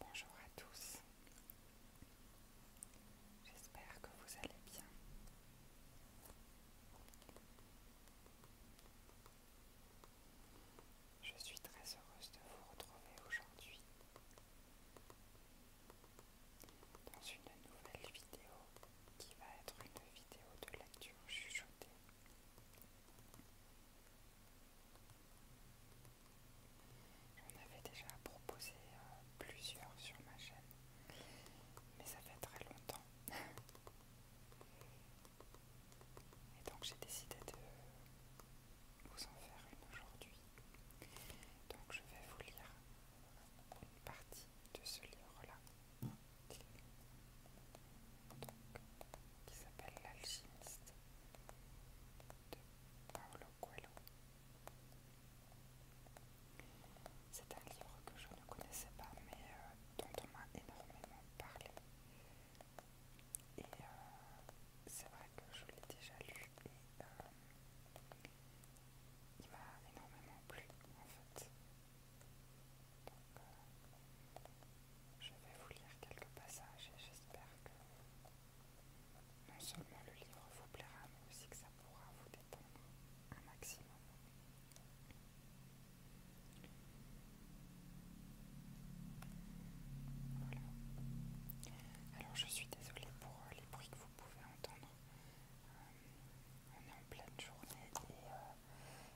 Bonjour à tous, j'espère que vous allez bien. Je suis très heureuse de vous retrouver aujourd'hui dans une nouvelle vidéo qui va être une vidéo de lecture chuchotée. J'en avais déjà proposé euh, plusieurs sur ma chaîne, mais ça fait très longtemps. Et donc j'ai décidé de vous en faire une aujourd'hui. Donc je vais vous lire une partie de ce livre-là, qui s'appelle L'alchimiste de Paolo Coelho. C'est un livre que je ne connaissais pas, mais euh, dont on m'a énormément parlé. Et euh, c'est vrai que je l'ai déjà lu et euh, il m'a énormément plu en fait. Euh, je vais vous lire quelques passages et j'espère que non seulement le livre vous plaira, mais aussi que ça pourra vous détendre un maximum. Voilà. Alors je suis désolée pour euh, les bruits que vous pouvez entendre. Euh, on est en pleine journée et euh,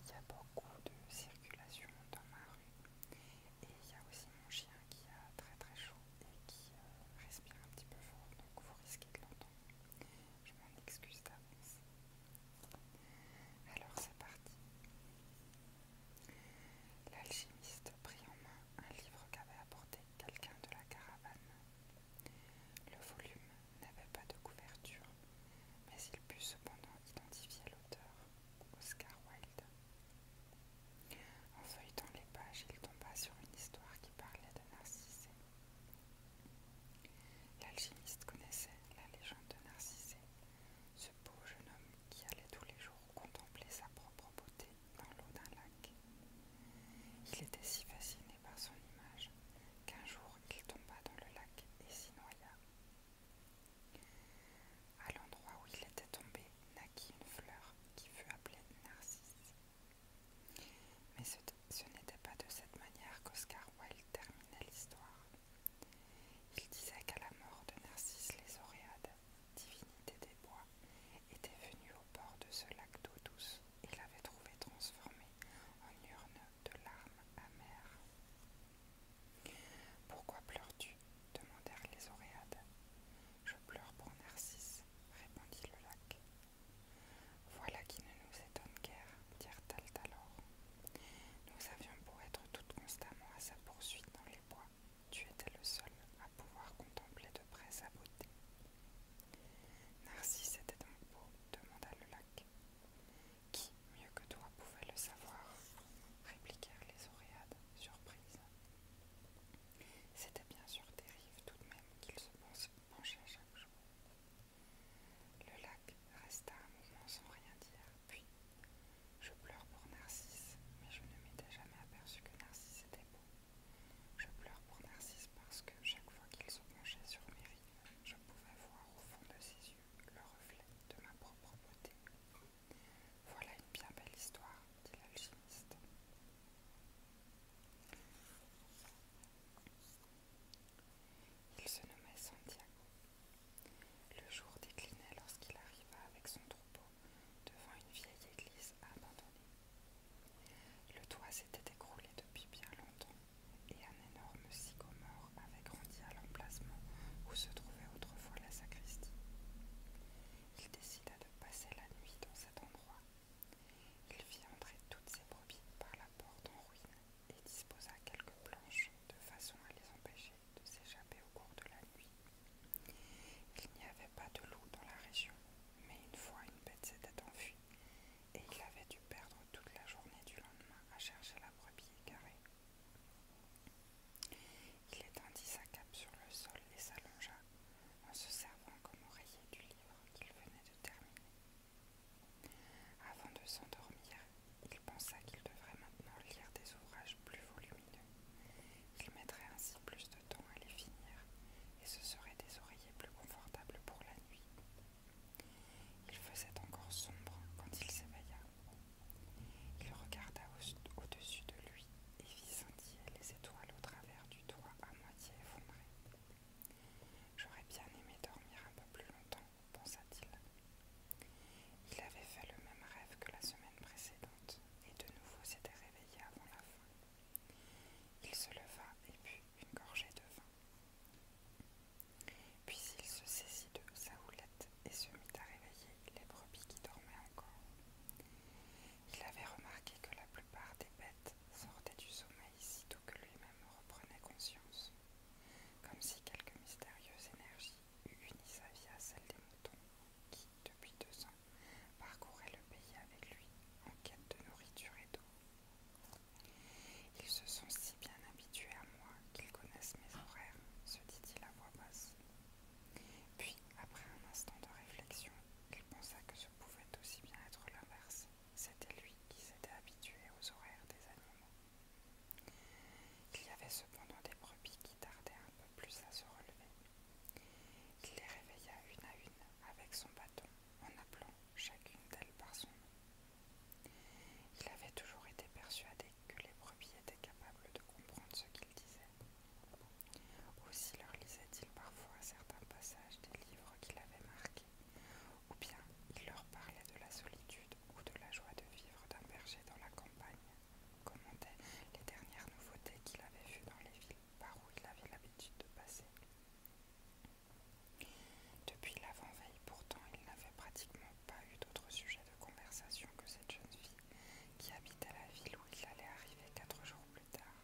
il y a beaucoup de circulation dans ma rue. Et il y a aussi mon chien qui a très très chaud et qui respire un petit peu fort, donc vous risquez de l'entendre. Je m'en excuse d'avance. Alors c'est parti. L'alchimiste prit en main un livre qu'avait apporté quelqu'un de la caravane. Le volume n'avait pas de couverture, mais il put cependant identifier l'auteur, Oscar Wilde. En feuilletant les pages, il tomba sur une histoire qui parlait de Narcisse. L'alchimiste connaissait la légende de Narcisse, Beau jeune homme qui allait tous les jours contempler sa propre beauté dans l'eau d'un lac. Il était si fasciné par son image qu'un jour il tomba dans le lac et s'y noya. À l'endroit où il était tombé naquit une fleur qui fut appelée Narcisse. Mais ce, n'était pas de cette manière qu'Oscar Wilde terminait l'histoire. Il disait qu'à la mort de Narcisse les Oréades, divinité des bois, était venue au bord de ce lac d'eau douce et l'avait trouvée transformée en urne de larmes amères. Pourquoi pleures-tu demandèrent les Oréades. Je pleure pour Narcisse, répondit le lac. Voilà qui ne nous étonne guère, dirent-elles alors. Nous avions pour être toutes constamment à sa poursuite dans les bois, tu étais le seul à pouvoir contempler de près sa beauté. Narcisse était donc beau demanda le lac. Qui, mieux que toi, pouvait le savoir répliquèrent les Oréades, surprises. C'était bien sûr des rives tout de même qu'ils se penchaient chaque jour. Le lac resta un moment sans rien dire, puis je pleure pour Narcisse, mais je ne m'étais jamais aperçu que Narcisse était beau. Je pleure pour Narcisse parce que chaque fois qu'il se penchait sur mes rives, je pouvais voir au fond de ses yeux le reflet de ma propre beauté. Voilà une bien belle histoire, dit l'alchimiste. Il se nommait Santiago. Le jour déclinait lorsqu'il arriva avec son troupeau devant une vieille église abandonnée. Le toit s'était écroulé depuis bien longtemps et un énorme sycomore avait grandi à l'emplacement où se trouvait autrefois la sacristie. Il décida de passer la nuit dans cet endroit. Il fit entrer toutes ses brebis par la porte en ruine et disposa quelques planches de façon à les empêcher de s'échapper au cours de la nuit. Il n'y avait pas de loup dans la région, mais une fois une bête s'était enfuie et il avait dû perdre toute la journée du lendemain à chercher la brebis égarée. Il étendit sa cape sur le sol et s'allongea en se servant comme oreiller du livre qu'il venait de terminer. Avant de s'endormir, il pensa qu'il devrait maintenant lire des ouvrages plus volumineux. Il mettrait ainsi plus de temps à les finir, et ce serait des oreillers plus confortables pour la nuit. Il faisait encore sombre quand il s'éveilla. Il regarda au-dessus de lui et vit scintiller les étoiles au travers du toit à moitié effondré. J'aurais bien aimé dormir un peu plus longtemps, pensa-t-il, il avait fait le même rêve que la semaine précédente et de nouveau s'était réveillé avant la fin. Il se leva et but une gorgée de vin. Puis il se saisit de sa houlette et se mit à réveiller les brebis qui dormaient encore. Il avait remarqué que la plupart des bêtes sortaient du sommeil sitôt que lui-même reprenait conscience, comme si quelque mystérieuse énergie unit sa vie à celle des moutons qui, depuis deux ans, parcouraient le pays avec lui en quête de nourriture et d'eau. Ils se sont si bien habitués à moi qu'ils connaissent mes horaires, se dit-il à voix basse. Puis, après un instant de réflexion, il pensa que ce pouvait aussi bien être l'inverse. C'était lui qui s'était habitué aux horaires des animaux. Il y avait cependant des brebis qui tardaient un peu plus à se relever. Il les réveilla une à une avec son bâton en appelant chacune d'elles par son nom. Il avait toujours été persuadé que les brebis étaient capables de comprendre ce qu'il disait. Aussi leur lisait-il parfois certains passages des livres qu'il avait marqués, ou bien il leur parlait de la solitude ou de la joie de vivre d'un berger dans la campagne, commentait les dernières nouveautés qu'il avait vues dans les villes par où il avait l'habitude de passer. Depuis l'avant-veille, pourtant, il n'avait pratiquement pas eu d'autre sujet de conversation que cette jeune fille qui habitait la ville où il allait arriver quatre jours plus tard.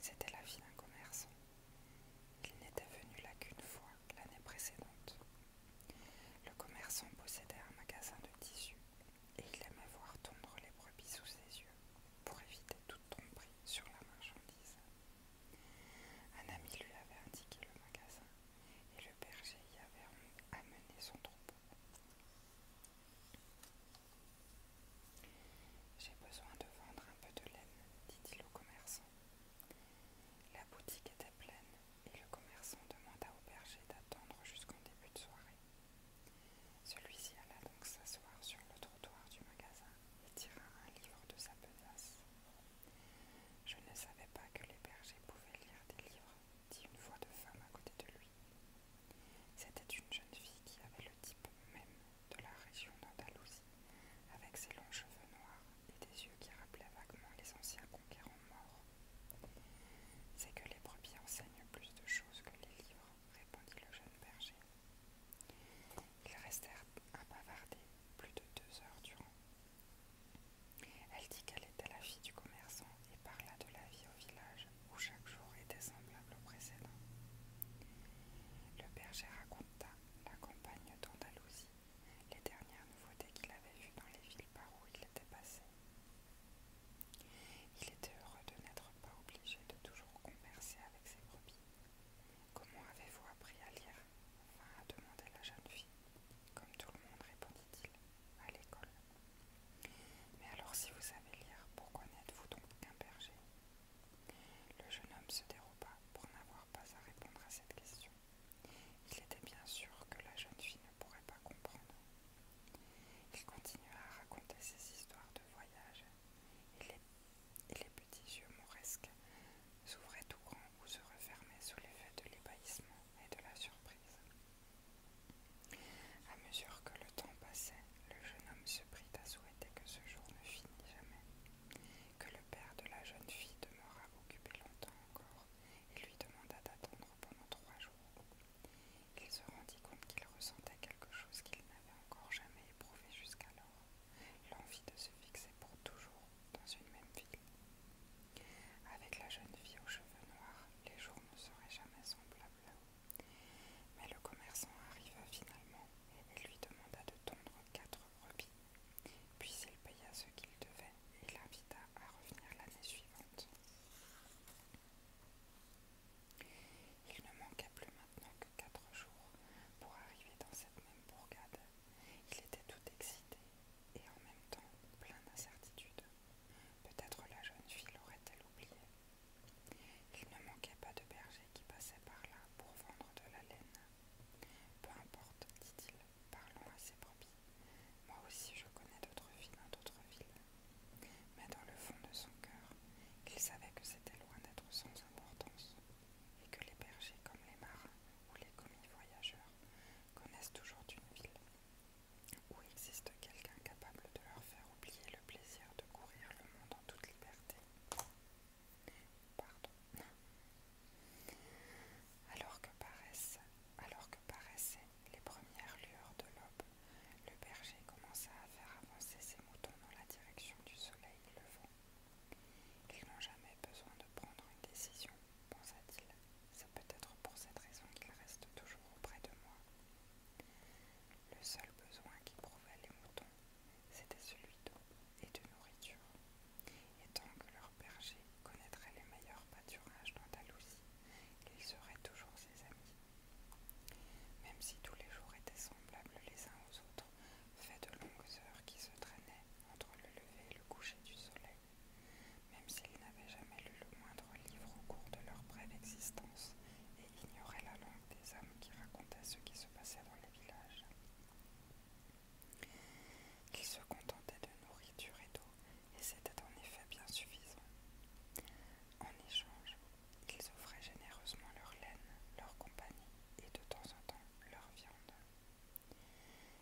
C'était la vie d'un commerçant. Il n'était venu là qu'une fois l'année précédente. Le commerçant possédait un magasin de tissus et il aimait voir tondre les brebis sous ses yeux pour éviter toute tromperie sur la marchandise. Un ami lui avait indiqué le magasin et le berger y avait amené son troupeau. J'ai besoin de vendre un peu de laine, dit-il au commerçant. La boutique était pleine et le commerçant demanda au berger d'attendre jusqu'en début de soirée. Celui-ci alla donc s'asseoir sur le trottoir du magasin et tira un livre de sa besace. Je ne savais pas que les bergers pouvaient lire des livres, dit une voix de femme à côté de lui. C'était une jeune fille qui avait le type même de la région d'Andalousie, avec ses longs cheveux noirs, et des yeux qui rappelaient vaguement les anciens conquérants morts. C'est que les brebis enseignent plus de choses que les livres, répondit le jeune berger. Ils restèrent à bavarder plus de deux heures durant. Elle dit qu'elle était la fille du commerçant et parla de la vie au village où chaque jour était semblable au précédent. Le berger raconta la campagne d'Andalousie les dernières nouveautés qu'il avait vues dans les villes par où il était passé. Il était heureux de n'être pas obligé de toujours converser avec ses brebis. Comment avez-vous appris à lire Enfin, à demander la jeune fille. Comme tout le monde, répondit-il, à l'école. Mais alors, si vous savez lire, pourquoi n'êtes-vous donc qu'un berger Le jeune homme se déroba pour n'avoir pas à répondre à cette question. Il était bien sûr que la jeune fille ne pourrait pas comprendre. Il continua à raconter ses histoires de voyage, et les, petits yeux mauresques s'ouvraient tout grands ou se refermaient sous l'effet de l'ébahissement et de la surprise. À mesure que le temps passait, le jeune homme se prit à souhaiter que ce jour ne finisse jamais que le père de la jeune fille demeura occupé longtemps encore et lui demanda d'attendre pendant trois jours. Il se rendit compte qu'il ressentait quelque chose qu'il n'avait encore jamais éprouvé jusqu'alors, l'envie de se fixer pour toujours dans une même ville. Avec la jeune fille aux cheveux noirs, les jours ne seraient jamais semblables. Mais le commerçant arriva finalement et lui demanda de tendre quatre brebis. Puis il paya ce qu'il devait et l'invita à revenir l'année suivante. Il ne manquait plus maintenant que quatre jours pour arriver dans cette même bourgade. Il était tout excité et en même temps plein d'incertitude. Peut-être la jeune fille l'aurait-elle oublié. Il ne manquait pas de berger qui passait par là pour vendre de la laine. Peu importe, dit-il, parlons à ses propres, Moi aussi je connais d'autres villes, d'autres villes. Mais dans le fond de son cœur, il savait que c'était loin d'être sans importance, et que les bergers comme les marins ou les commis voyageurs connaissent toujours une ville où existe quelqu'un capable de leur faire oublier le plaisir de courir le monde en toute liberté. Alors que, alors que paraissaient les premières lueurs de l'aube, le berger commença à faire avancer ses moutons dans la direction du soleil levant. Ils n'ont jamais besoin de prendre une décision, pensa-t-il. C'est peut-être pour cette raison qu'ils restent toujours auprès de moi. Le seul besoin prouvait les moutons c'était celui d'eau et de nourriture. Et tant que leur berger connaîtrait les meilleurs pâturages d'Andalousie, ils seraient toujours ses amis. Même si tous les jours étaient semblables les uns aux autres, faits de longues heures qui se traînaient entre le lever et le coucher du soleil, même s'ils n'avaient jamais lu le moindre livre au cours de leur brève existence et ignoraient la langue des hommes qui racontaient ce qui se passait dans les villages. Qu'ils se contentaient de nourriture et d'eau, et c'était en effet bien suffisant. En échange, ils offraient généreusement leur laine, leur compagnie et de temps en temps leur viande.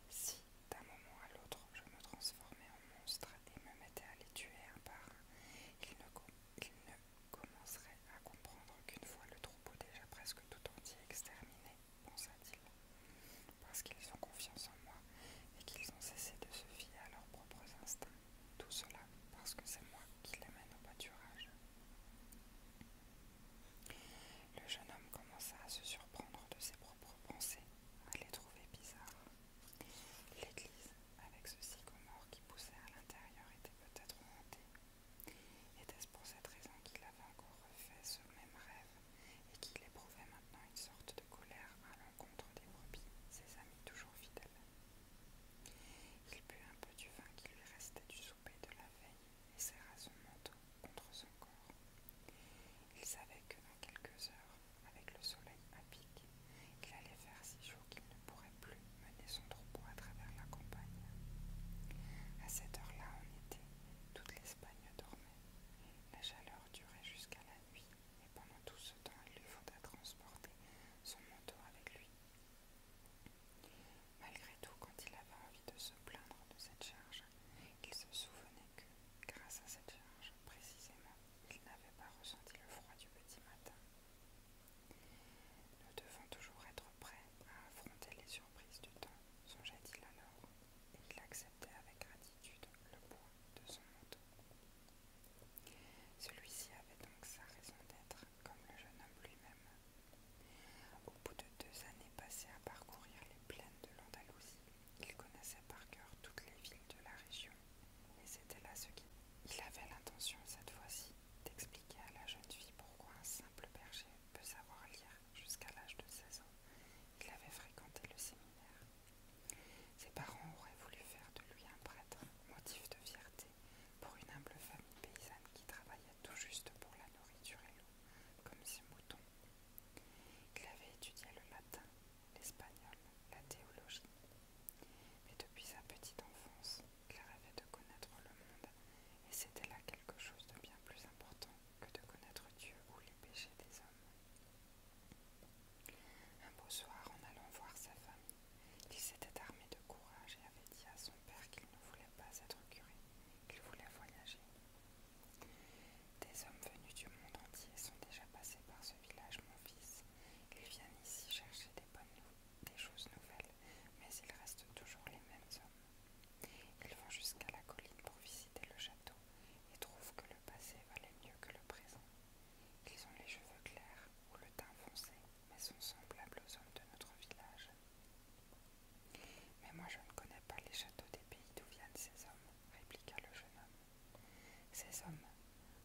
Si, d'un moment à l'autre, je me transformais en monstre et me mettais à les tuer un par un, ne, ils ne commenceraient à comprendre qu'une fois le troupeau déjà presque tout entier exterminé, pensa-t-il, parce qu'ils ont confiance en moi et qu'ils ont cessé de se fier à leurs propres instincts. Tout cela parce que c'est moi qui les mène au pâturage. Le jeune homme commença à se surprendre de ses propres pensées, à les trouver bizarres. L'église, avec ce sycomore qui poussait à l'intérieur, était peut-être hantée était-ce pour cette raison qu'il avait encore refait ce même rêve et qu'il éprouvait maintenant une sorte de colère à l'encontre des brebis, ses amis toujours fidèles Il put un peu du vin qui lui restait du souper de la veille et serra son manteau contre son corps. Il savait que dans quelques heures, avec le soleil à pic, il allait faire si chaud qu'il ne pourrait plus mener son à travers la campagne. À cette heure-là, en été, toute l'Espagne dormait. La chaleur durait jusqu'à la nuit, et pendant tout ce temps, il lui faudra transporter son manteau avec lui. Malgré tout, quand il avait envie de se plaindre de cette charge, il se souvenait que, grâce à cette charge, précisément, il n'avait pas ressenti le froid du petit matin. Nous devons toujours être prêts à affronter les surprises du temps, songeait il alors, et il acceptait avec gratitude le poids de son manteau. Celui-ci avait donc sa raison d'être, comme le jeune homme lui-même. Au bout de deux années passées à parcourir les plaines de l'Andalousie, il connaissait par cœur toutes les villes de la région, et c'était là ce qui. Il avait l'intention cette fois-ci d'expliquer à la jeune fille pourquoi un simple berger peut savoir lire jusqu'à l'âge de 16 ans, il avait fréquenté le séminaire. Ses parents auraient voulu faire de lui un prêtre, motif de fierté pour une humble famille paysanne qui travaillait tout juste pour la nourriture et l'eau, comme ses moutons. Il avait étudié le latin, l'espagnol, la théologie. Mais depuis sa petite enfance, il rêvait de connaître le monde et c'était là quelque chose de bien plus important que de connaître Dieu ou les péchés des hommes. Un beau soir, en allant voir sa famille, il s'était armé de courage et avait dit à son père qu'il ne voulait pas être curé, qu'il voulait voyager. Des hommes venus du monde entier sont déjà passés par ce village, mon fils. Ils viennent ici chercher des bonnes nouvelles des choses nouvelles, mais ils restent toujours les mêmes hommes. Ils vont jusqu'à la colline pour visiter le château et trouvent que le passé valait mieux que le présent. Ils ont les cheveux clairs ou le teint foncé, mais sont semblables aux hommes de notre village. Mais moi je ne connais pas les châteaux des pays d'où viennent ces hommes, répliqua le jeune homme. Ces hommes,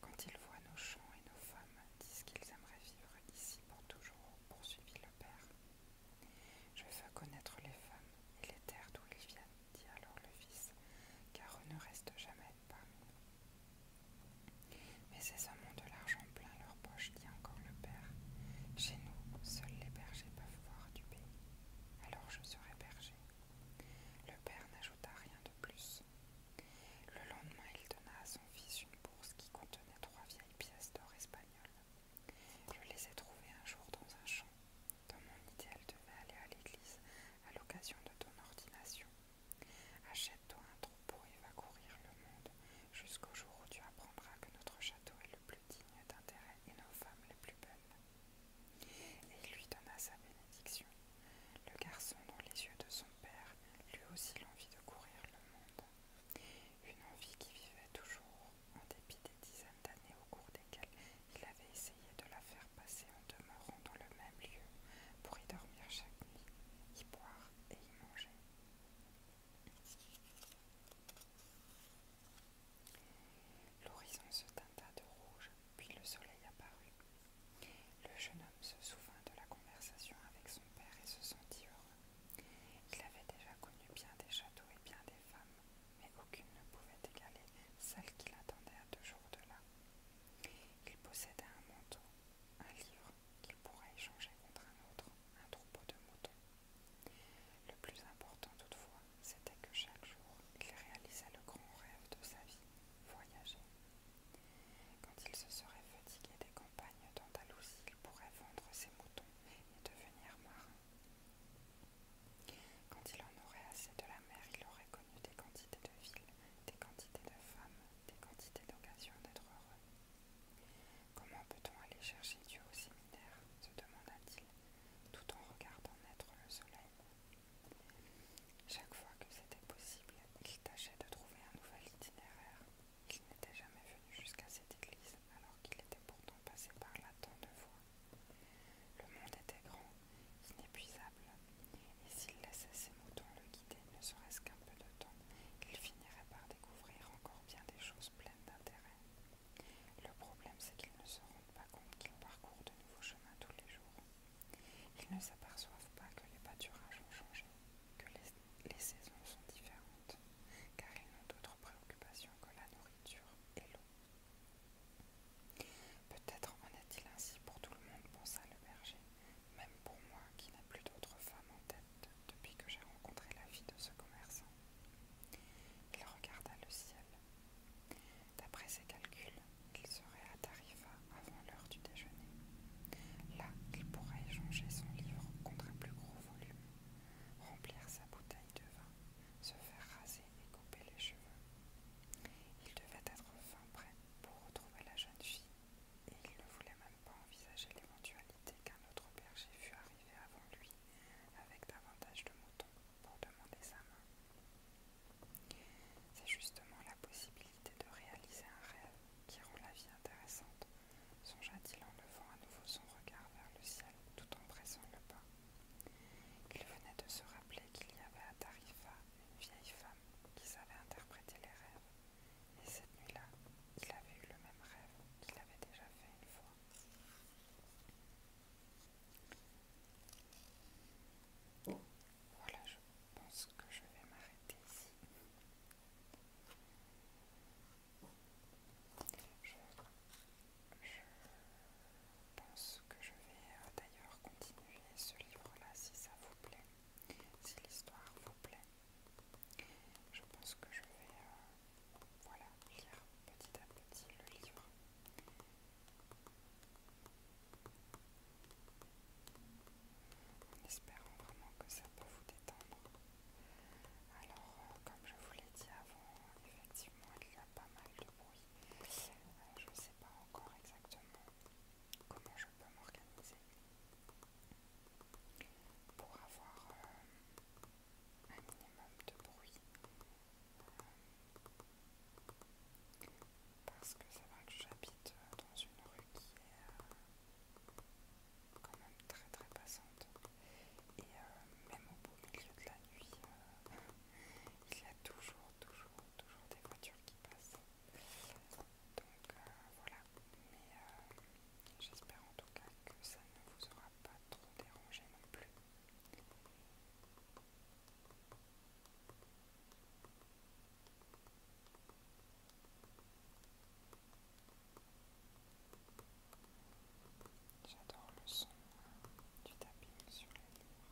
quand ils voient nos champs et nos femmes, disent qu'ils aimeraient vivre ici pour toujours, poursuivit je veux connaître les femmes et les terres d'où ils viennent, dit alors le fils, car on ne restent jamais parmi nous. Mais ces hommes ont de l'argent plein leur poche, dit encore le père. Chez nous, seuls les bergers peuvent voir du pays. Alors je serai berger. Le père n'ajouta rien de plus. Le lendemain, il donna à son fils une bourse qui contenait trois d'or espagnole. Je les ai trouvées un jour dans un champ, dans mon idéal devait aller à l'église à l'occasion de ton ordination. Achète-toi un troupeau et va courir le monde jusqu'au jour où tu apprendras que notre château est le plus digne d'intérêt et nos femmes les plus bonnes. Et il lui donna sa bénédiction. Le garçon, dans les yeux de son père, lui aussi l'envie de courir le monde. Une envie qui vivait toujours, en dépit des dizaines d'années au cours desquelles il avait essayé de la faire passer en demeurant dans le même lieu pour y dormir chaque nuit, y boire et y manger. L'horizon se teinta de rouge, puis le soleil apparut se souvint de la conversation avec son père et se sentit heureux. Il avait déjà connu bien des châteaux et bien des femmes, mais aucune ne pouvait égaler celle qu'il attendait à deux jours de là. Il possédait un manteau, un livre qu'il pourrait échanger contre un autre, un troupeau de moutons. Le plus important toutefois, c'était que chaque jour, il réalisait le grand rêve de sa vie, voyager. Quand il se serait fatigué des campagnes d'Andalousie, il pourrait vendre ses moutons et devenir marin. Quand il en aurait assez de la mer, il aurait connu des quantités de villes, des quantités de femmes, des quantités d'occasions d'être heureux. Comment peut-on aller chercher Dieu au séminaire se demanda-t-il, tout en regardant naître le soleil. Chaque fois que c'était possible, il tâchait de trouver un nouvel itinéraire qu'il n'était jamais venu jusqu'à cette église alors qu'il était pourtant passé par là tant de fois. Le monde était grand, inépuisable, et s'il laissait ses moutons le guider ne serait-ce qu'un peu de temps, qu'il finirait par découvrir encore bien des choses pleines d'intérêt. Le problème, c'est qu'ils ne se rendent pas compte qu'ils parcourent de nouveaux chemins tous les jours. Ils ne s'aperçoivent pas que les pâturages ont changé, que les, saisons sont différentes, car ils n'ont d'autres préoccupations que la nourriture et l'eau. Peut-être en est-il ainsi pour tout le monde, pensa le berger, même pour moi qui n'ai plus d'autre femme en tête depuis que j'ai rencontré la vie de ce commerçant. Il regarda le ciel. D'après ses calculs, il serait à Tarifa avant l'heure du déjeuner. Là, il pourrait échanger son livre contre un plus gros volume, remplir sa bouteille de vin, se faire raser et couper les cheveux. Il devait être fin prêt pour retrouver la jeune fille, et il ne voulait même pas envisager l'éventualité qu'un autre berger fût arrivé avant lui, avec davantage de moutons, pour demander sa main. C'est justement possibilité de réaliser un rêve qui rend la vie intéressante, songea-t-il en levant à nouveau son regard vers le ciel tout en pressant le pas. Il venait de se rappeler qu'il y avait à Tarifa une vieille femme qui savait interpréter les rêves, et cette nuit-là, il avait eu le même rêve qu'il avait déjà fait une fois. Voilà, je pense que je vais m'arrêter ici. Je, pense que je vais euh, d'ailleurs continuer ce livre-là si ça vous plaît, si l'histoire vous plaît. Je pense que je vais euh, lire petit à petit le livre en espérant vraiment que ça peut vous détendre. Alors, euh, comme je vous l'ai dit avant, effectivement, il y a pas mal de bruit. Euh, je ne sais pas encore exactement comment je peux m'organiser pour avoir euh, un minimum de bruit parce que c'est vrai que j'habite euh, dans une rue qui est euh, quand même très très passante. Et euh, même au beau milieu de la nuit, il y a toujours, toujours, toujours des voitures qui passent. Donc voilà. Mais j'espère en tout cas que ça ne vous aura pas trop dérangé non plus. J'adore le son du tapis sur les livres.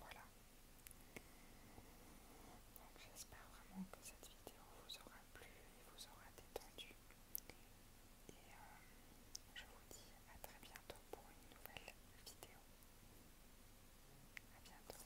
Voilà. Donc j'espère vraiment que cette vidéo vous aura plu et vous aura détendu. Et euh, je vous dis à très bientôt pour une nouvelle vidéo. À bientôt.